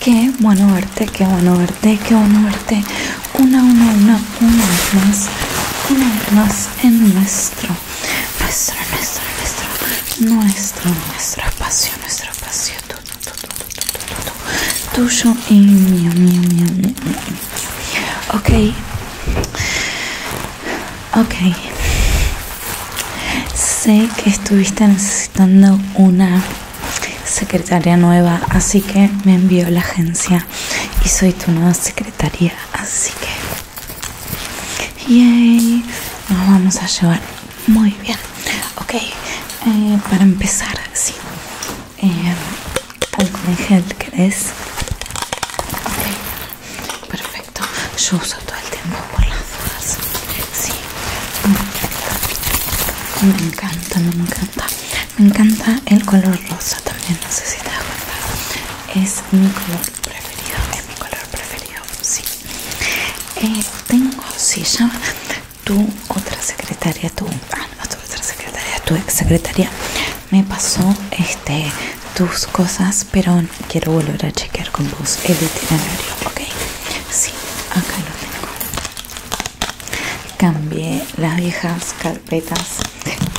Qué bueno verte, qué bueno verte, qué bueno verte. Una, una, una, una más, una más en nuestro nuestro, nuestro, nuestro, nuestro, nuestro espacio, nuestro espacio, tu, tu, tu, tu, tu, tu, tu, tuyo y mío, mío, mío, mío, Ok, ok. Sé que estuviste necesitando una secretaria nueva, así que me envió la agencia y soy tu nueva secretaria, así que Yay. Nos vamos a llevar muy bien. Ok, eh, para empezar, sí. Eh, gel, ¿querés? perfecto. Yo uso todo el tiempo por las dudas. Sí. Me encanta, me encanta. Me encanta el color rosa también, no sé si te das cuenta. Es mi color preferido, es mi color preferido, sí. Eh, tengo, si llama tu otra secretaria, tu, ah, otra secretaria, tu ex secretaria, me pasó este tus cosas, pero quiero volver a chequear con vos el itinerario, ¿ok? Sí, acá lo tengo. Cambié las viejas carpetas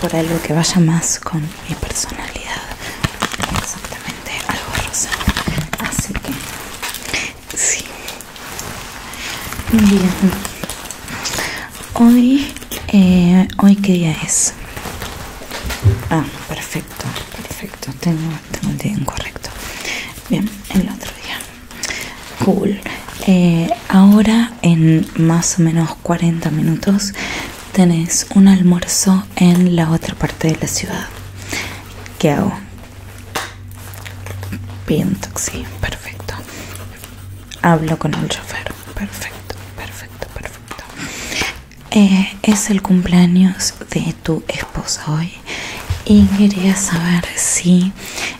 por algo que vaya más con mi personalidad exactamente algo rosa así que sí bien hoy eh, hoy qué día es ah perfecto perfecto tengo el día incorrecto bien el otro día cool eh, ahora en más o menos 40 minutos tenés un almuerzo en la otra parte de la ciudad. ¿Qué hago? Pido un perfecto. Hablo con el chofer, perfecto, perfecto, perfecto. Eh, es el cumpleaños de tu esposa hoy y quería saber si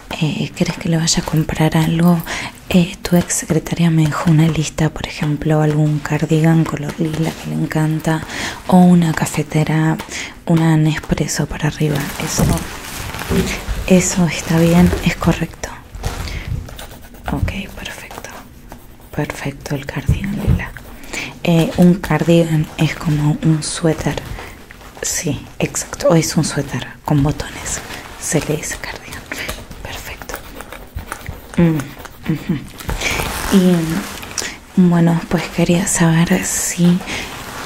crees eh, que le vaya a comprar algo eh, tu ex secretaria me dejó una lista, por ejemplo, algún cardigan color lila que le encanta o una cafetera, una Nespresso para arriba. Eso, está bien, es correcto. Ok, perfecto. Perfecto el cardigan lila. Eh, un cardigan es como un suéter. Sí, exacto. o Es un suéter con botones. Se le dice cardigan. Perfecto. Mm, y mm, bueno, pues quería saber si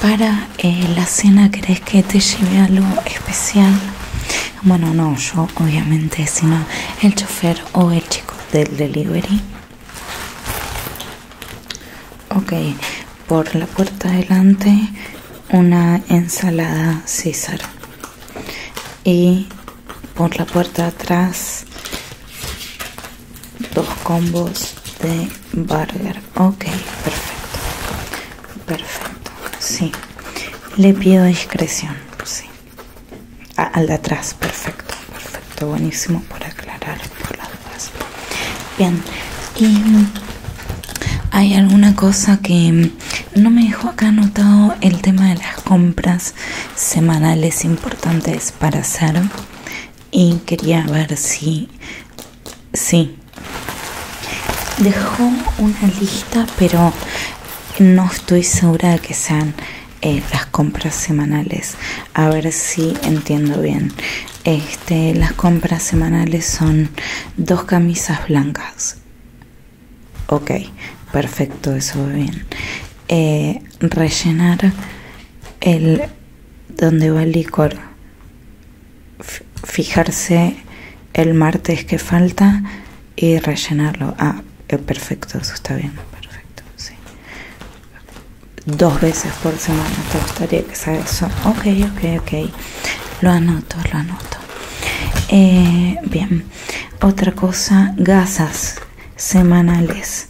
para eh, la cena crees que te lleve algo especial. Bueno, no, yo obviamente, sino el chofer o el chico del delivery. Ok, por la puerta adelante una ensalada César y por la puerta atrás dos combos de burger ok perfecto perfecto sí le pido discreción sí al de atrás perfecto perfecto buenísimo por aclarar por las bien y hay alguna cosa que no me dejó acá anotado el tema de las compras semanales importantes para hacer y quería ver si... Sí. Dejó una lista, pero no estoy segura de que sean eh, las compras semanales. A ver si entiendo bien. Este, las compras semanales son dos camisas blancas, Ok, perfecto, eso va bien. Eh, rellenar el donde va el licor. fijarse el martes que falta y rellenarlo. Ah, eh, perfecto, eso está bien. Perfecto, sí. Dos veces por semana te gustaría que sea eso. Ok, ok, ok. Lo anoto, lo anoto. Eh, bien otra cosa gasas semanales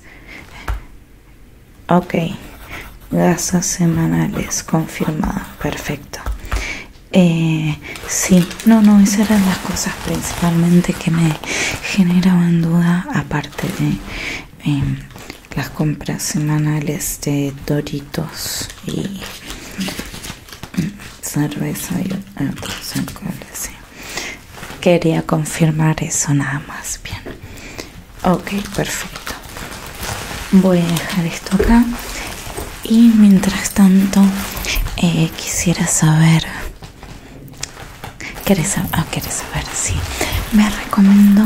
ok gasas semanales confirmado, perfecto eh, sí no no esas eran las cosas principalmente que me generaban duda aparte de em, las compras semanales de doritos y y quería confirmar eso nada más bien ok perfecto voy a dejar esto acá y mientras tanto eh, quisiera saber ¿Quieres saber? Ah, me recomendó,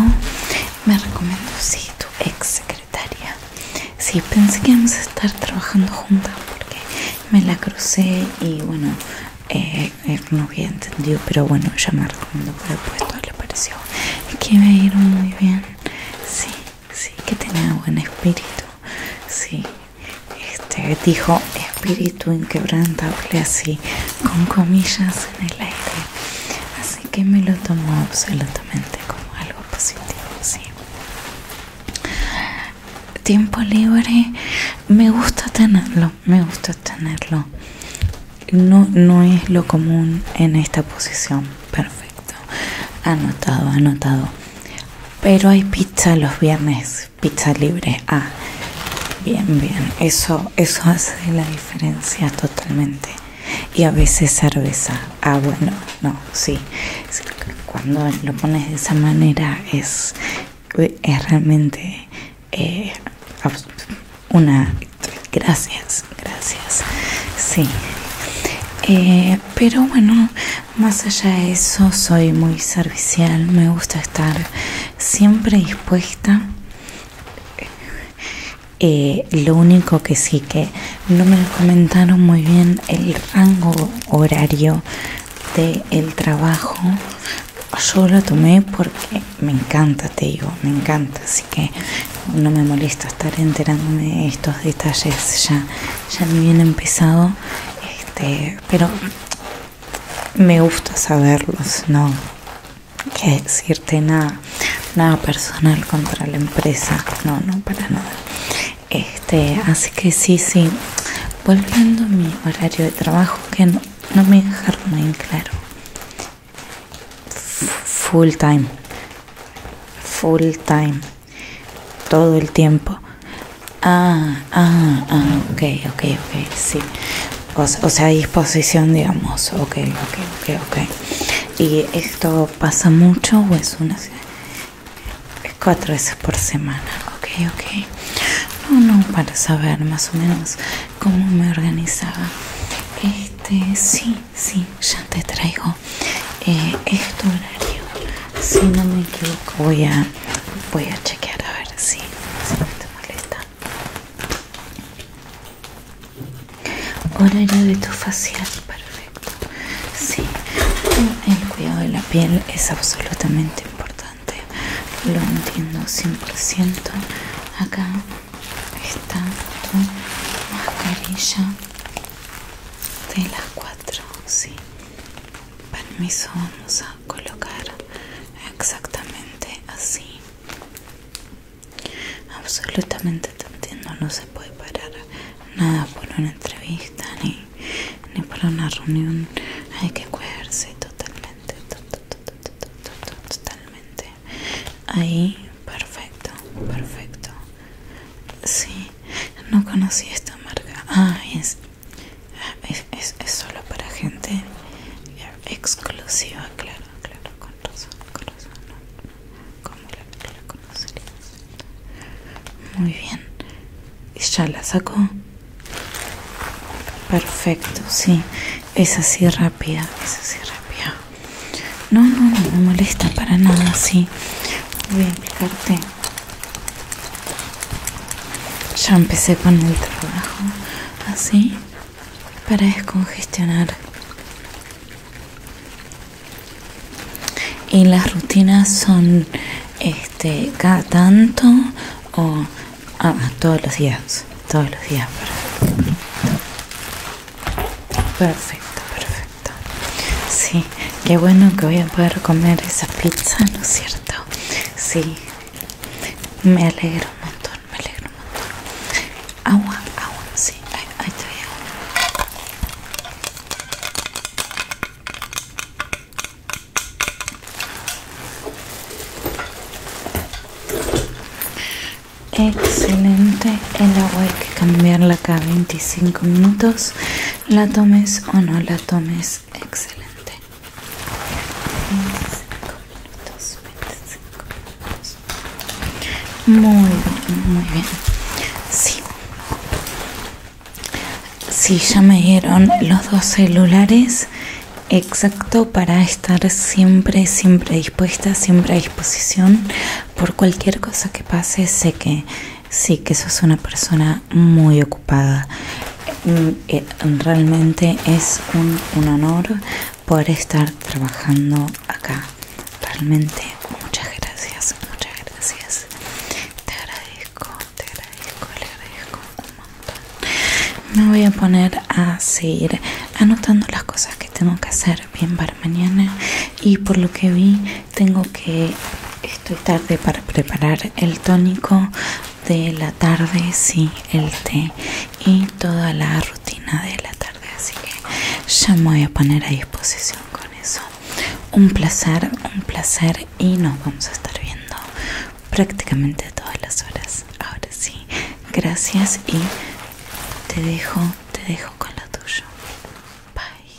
me recomendó, sí, tu ex secretaria. Sí, pensé que íbamos a estar trabajando juntas porque me la crucé y bueno, eh, eh, no había entendido, pero bueno, llamar cuando recomendó puesto, le pareció que me dieron muy bien. Sí, sí, que tenía buen espíritu. Sí, este dijo espíritu inquebrantable así, con comillas en el aire. Así que me lo tomo absolutamente como algo positivo, sí. Tiempo libre, me gusta tenerlo, me gusta tenerlo. No, no es lo común en esta posición, perfecto. Anotado, anotado. Pero hay pizza los viernes, pizza libre. Ah, bien, bien. Eso, eso hace la diferencia totalmente y a veces cerveza. Ah, bueno, no, sí. Cuando lo pones de esa manera es, realmente eh, una... Gracias, gracias. Sí. Eh, pero bueno, más allá de eso, soy muy servicial, me gusta estar siempre dispuesta eh, lo único que sí que no me comentaron muy bien el rango horario del trabajo. Yo lo tomé porque me encanta, te digo, me encanta, así que no me molesta estar enterándome de estos detalles ya, ya bien empezado, este, pero me gusta saberlos, ¿no? que decirte nada, nada personal contra la empresa, no, no, para nada. Este, así que sí, sí, volviendo a mi horario de trabajo que no, me dejaron en claro. full time, full time, todo el tiempo. Ah, ah, ah, ok, ok, ok, sí. O, o sea, disposición, digamos. Ok, ok, ok, ok y esto pasa mucho o es una cuatro veces por semana ok ok no no para saber más o menos cómo me organizaba este sí sí ya te traigo esto eh, este horario si no me equivoco voy a voy a chequear a ver si, si no te molesta Horario de tu facial, perfecto. Sí, el cuidado de la piel es absolutamente importante. Lo entiendo 100%. Acá está tu mascarilla de las cuatro, sí. Permiso, vamos a colocar exactamente así. Absolutamente te entiendo, no se puede parar nada por una entrevista ni, ni por una reunión. Hay que cuidarse totalmente, totalmente. Ahí, perfecto, perfecto. Sí, no conocí esta marca. Ah, es, es solo para gente exclusiva, claro claro, la, Muy bien. ya la sacó? Perfecto, sí. Es así rápida, es así rápida. No, no, no me molesta para nada, sí. Voy a explicarte. Ya empecé con el trabajo así. ¿Ah, para descongestionar. Y las rutinas son este cada tanto o ah, todos los días, todos los días. Perfecto, perfecto. Sí, qué bueno que voy a poder comer esa pizza, ¿no es cierto? Sí, me alegro un montón me alegro mucho Agua, agua, sí, ahí, estoy. agua. Excelente, el agua hay que cambiarla cada 25 minutos, la tomes o no la tomes, excelente. 25 minutos, 25 minutos. Muy bien, muy bien. Sí. Sí, ya me dieron los dos celulares exacto para estar siempre, siempre dispuesta, siempre a disposición por cualquier cosa que pase. Sé que sí, que sos una persona muy ocupada. Mm, realmente es un, honor poder estar trabajando acá. Realmente muchas gracias, muchas gracias. Te agradezco, te agradezco, le agradezco un montón. Me voy a poner a seguir anotando las cosas que tengo que hacer bien para mañana y por lo que vi tengo que estoy tarde para preparar el tónico de la tarde sí el té y toda la rutina de la tarde así que ya me voy a poner a disposición con eso un placer un placer y nos vamos a estar viendo prácticamente todas las horas ahora sí gracias y te dejo te dejo con lo tuyo bye